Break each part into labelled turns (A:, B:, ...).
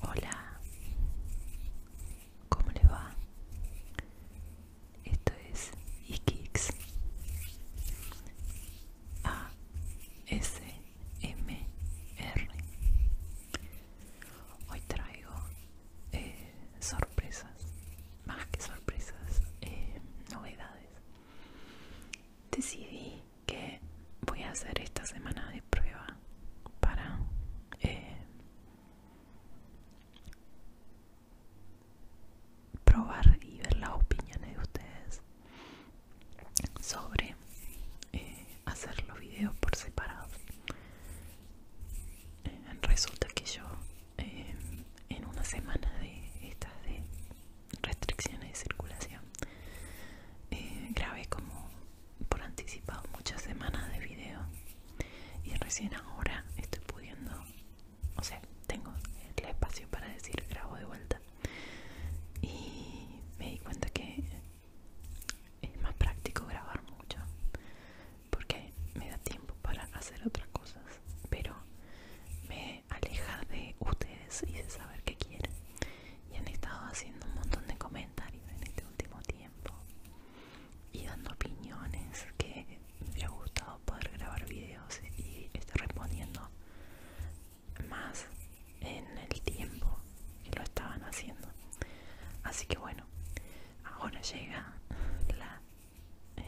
A: Hola, ¿cómo le va? Esto es Ikix A S M R. Hoy traigo eh, sorpresas, más que sorpresas, eh, novedades. Decidí que voy a hacer esta semana de prueba para eh, probar y ver las opiniones de ustedes sobre eh, hacer los videos por separado eh, resulta que yo eh, en una semana de estas de restricciones de circulación. Eh, grabé como por anticipado muchas semanas de video y recién ahora estoy pudiendo, o sea, tengo el espacio para decir grabo de vuelta y me di cuenta que es más práctico grabar mucho porque me da tiempo para hacer otras cosas pero me aleja de ustedes y de saber qué quieren. Y han estado haciendo un montón de comentarios en este último tiempo y dando opiniones que me ha gustado poder grabar videos y estar respondiendo más en el tiempo que lo estaban haciendo. Así que bueno, ahora llega la eh,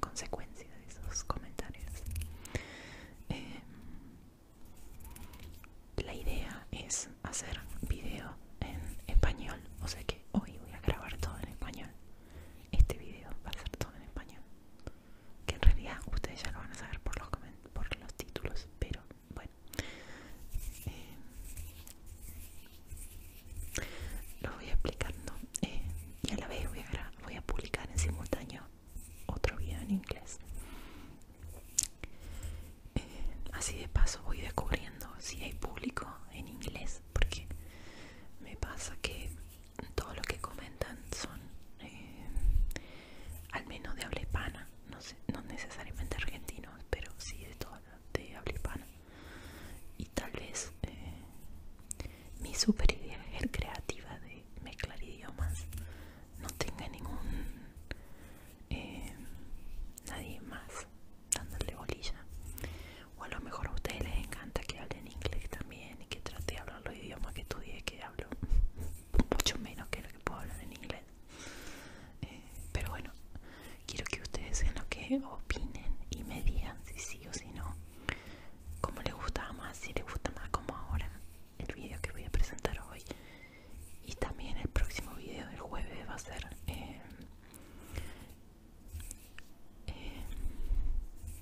A: consecuencia de esos comentarios. Em, la idea es hacer video en español, o sea que hoy voy a grabar todo en español. Este video va a ser todo en español. Que en realidad ustedes ya lo van a saber por los, por los títulos, pero bueno. Em, lo voy explicando eh, y a la vez voy a grabar voy a publicar en simultáneo otro video en inglés eh, así de paso voy descubriendo si hay público en inglés porque me pasa que todo lo que comentan son eh, al menos de habla hispana no, no necesariamente argentinos pero sí de todo de habla hispana y tal vez eh, mi super idea es creativa de mezclar idiomas. No tenga ningún. Eh, nadie más dándole bolilla. O a lo mejor a ustedes les encanta que hablen inglés también y que trate de hablar los idiomas que estudié, que hablo mucho menos que lo que puedo hablar en inglés. Eh, pero bueno, quiero que ustedes en lo que opinen y me digan si sí o si no como les gustaba más, si les gusta más como ahora el video que voy a presentar hoy y también el próximo video del jueves va a ser eh, eh,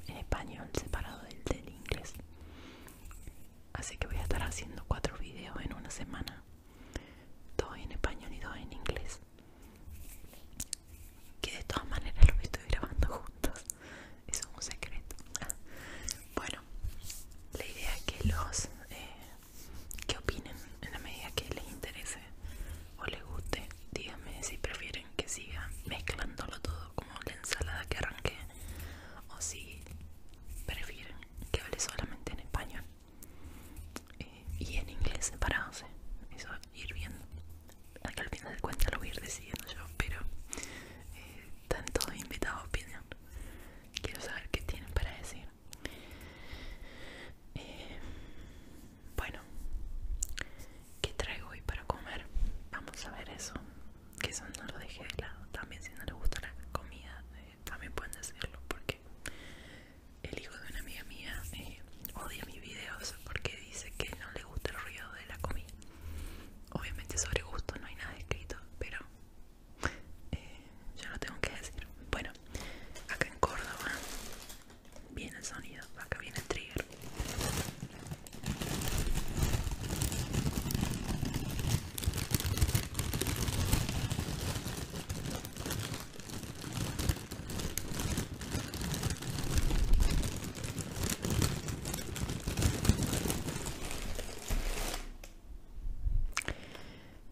A: en español separado del inglés así que voy a estar haciendo cuatro videos en una semana dos en español y dos en inglés que de todas maneras lo estoy grabando juntos eso es un secreto bueno la idea es que los eh, que opinen en la medida que les interese o les guste díganme si prefieren que siga mezclándolo todo como la ensalada que arranqué o si prefieren que hable solamente en español y en inglés separados, ¿eh? eso ir viendo. que al final de cuentas lo voy a ir decidiendo yo, pero están eh, todos invitados a opinión. Quiero saber qué tienen para decir. Eh, bueno, ¿qué traigo hoy para comer? Vamos a ver eso. Que eso no lo dejé de lado. También si no les gusta la comida, también pueden decirlo porque el hijo de una amiga mía eh, odia mis videos porque dice que no le gusta el ruido de la comida. Obviamente sobre gusto no hay nada escrito, pero eh, yo lo tengo que decir. Bueno, acá en Córdoba viene el sonido, acá viene el trigger.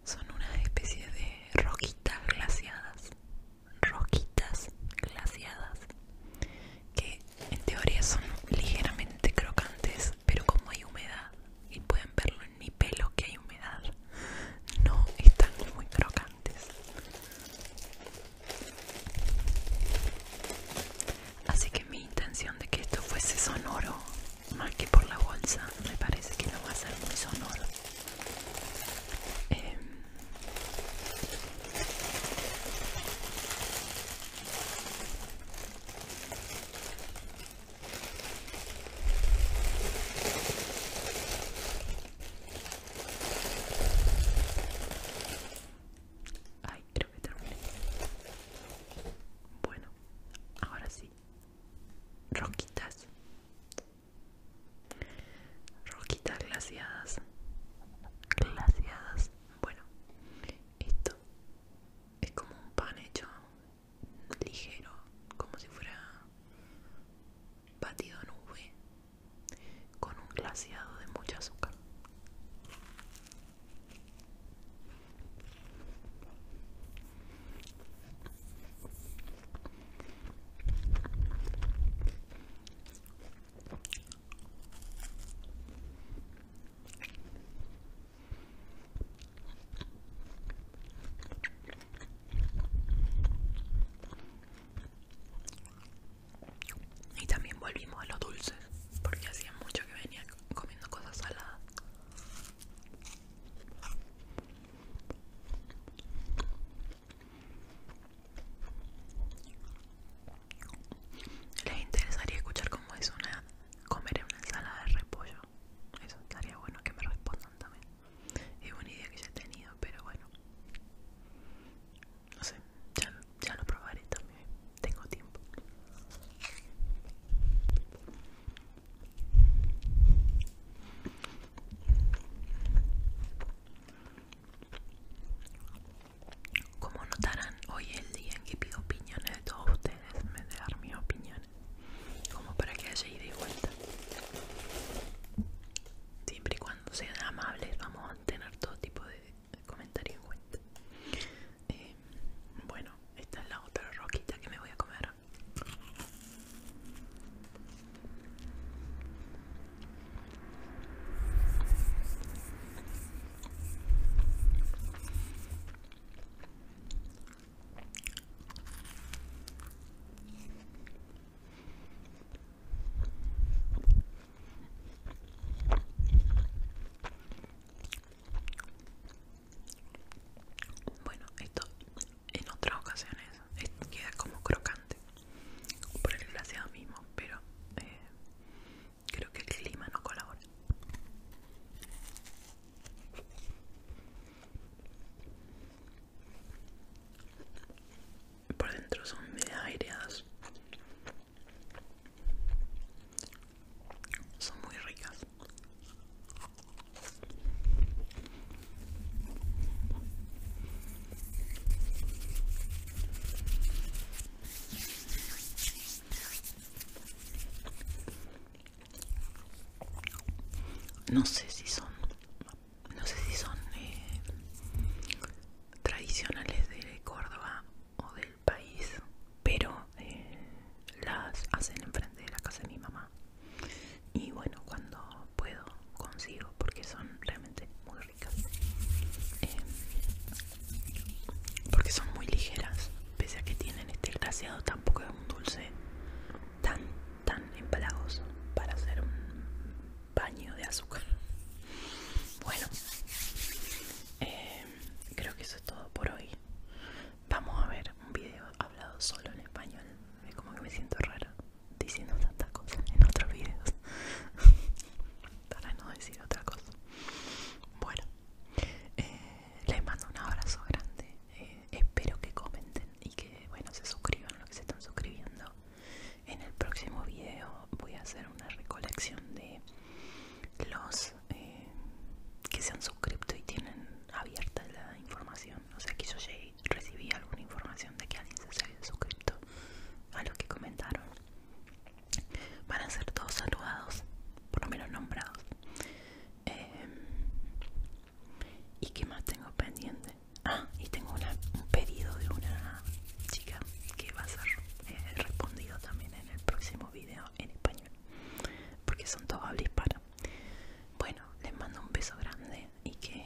A: Son una especie de roquitas glaciadas, roquitas glaciadas, que en teoría son ligeramente crocantes, pero como hay humedad, y pueden verlo en mi pelo que hay humedad, no están muy crocantes. Así que mi intención de que esto fuese sonoro, más que por la bolsa, me parece que no va a ser muy sonoro. Em, creo que Bueno, ahora sí. Roquitas. Roquitas glaciadas. Glaciadas. Bueno, esto es como un pan hecho ligero, como si fuera batido en nube, con un glaciado de mucha azúcar. Y también volvimos a los dulces, porque hacía mucho que venía comiendo cosas saladas. Les interesaría escuchar cómo es una comer una ensalada de repollo. Eso estaría bueno que me respondan también. Es una idea que ya he tenido, pero bueno. No sé, ya, ya lo probaré también. Tengo tiempo. Como notarán, hoy es el día en que pido opiniones de todos ustedes de dar mi opinión como para que haya ida y vuelta siempre y cuando sean amables vamos a tener todo tipo de comentarios en cuenta eh, bueno esta es la otra roquita que me voy a comer bueno, esto en otras ocasiones queda como crocante por el glaseado mismo, pero eh, creo que el clima no colabora. Por dentro son de aireadas. Son muy ricas no sé si son no sé si son eh, tradicionales de Córdoba o del país pero eh, las hacen enfrente de la casa de mi mamá y bueno cuando puedo consigo porque son realmente muy ricas em, porque son muy ligeras pese a que tienen este glaseado tampoco es un dulce tan tan empalagoso para hacer un baño de azúcar bueno eh, creo que eso es todo por hoy vamos a ver un video hablado solo en español es como que me siento rara diciendo tantas cosas en otros videos para no decir otra cosa bueno eh, les mando un abrazo grande. Eh, espero que comenten y que bueno se suscriban los que se están suscribiendo. En el próximo video voy a hacer una recolección de los eh, que se han suscrito y tienen abierta la información. O sea que yo ya recibí alguna información de que alguien se había suscrito a los que comentaron van a ser todos saludados, por lo menos nombrados. Em, ¿Y qué más tengo pendiente? Ah, y tengo un pedido de una chica que va a ser eh, respondido también en el próximo video en español, porque son todos hables para Bueno, les mando un beso grande y que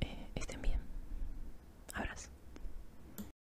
A: eh, estén bien. Abrazo.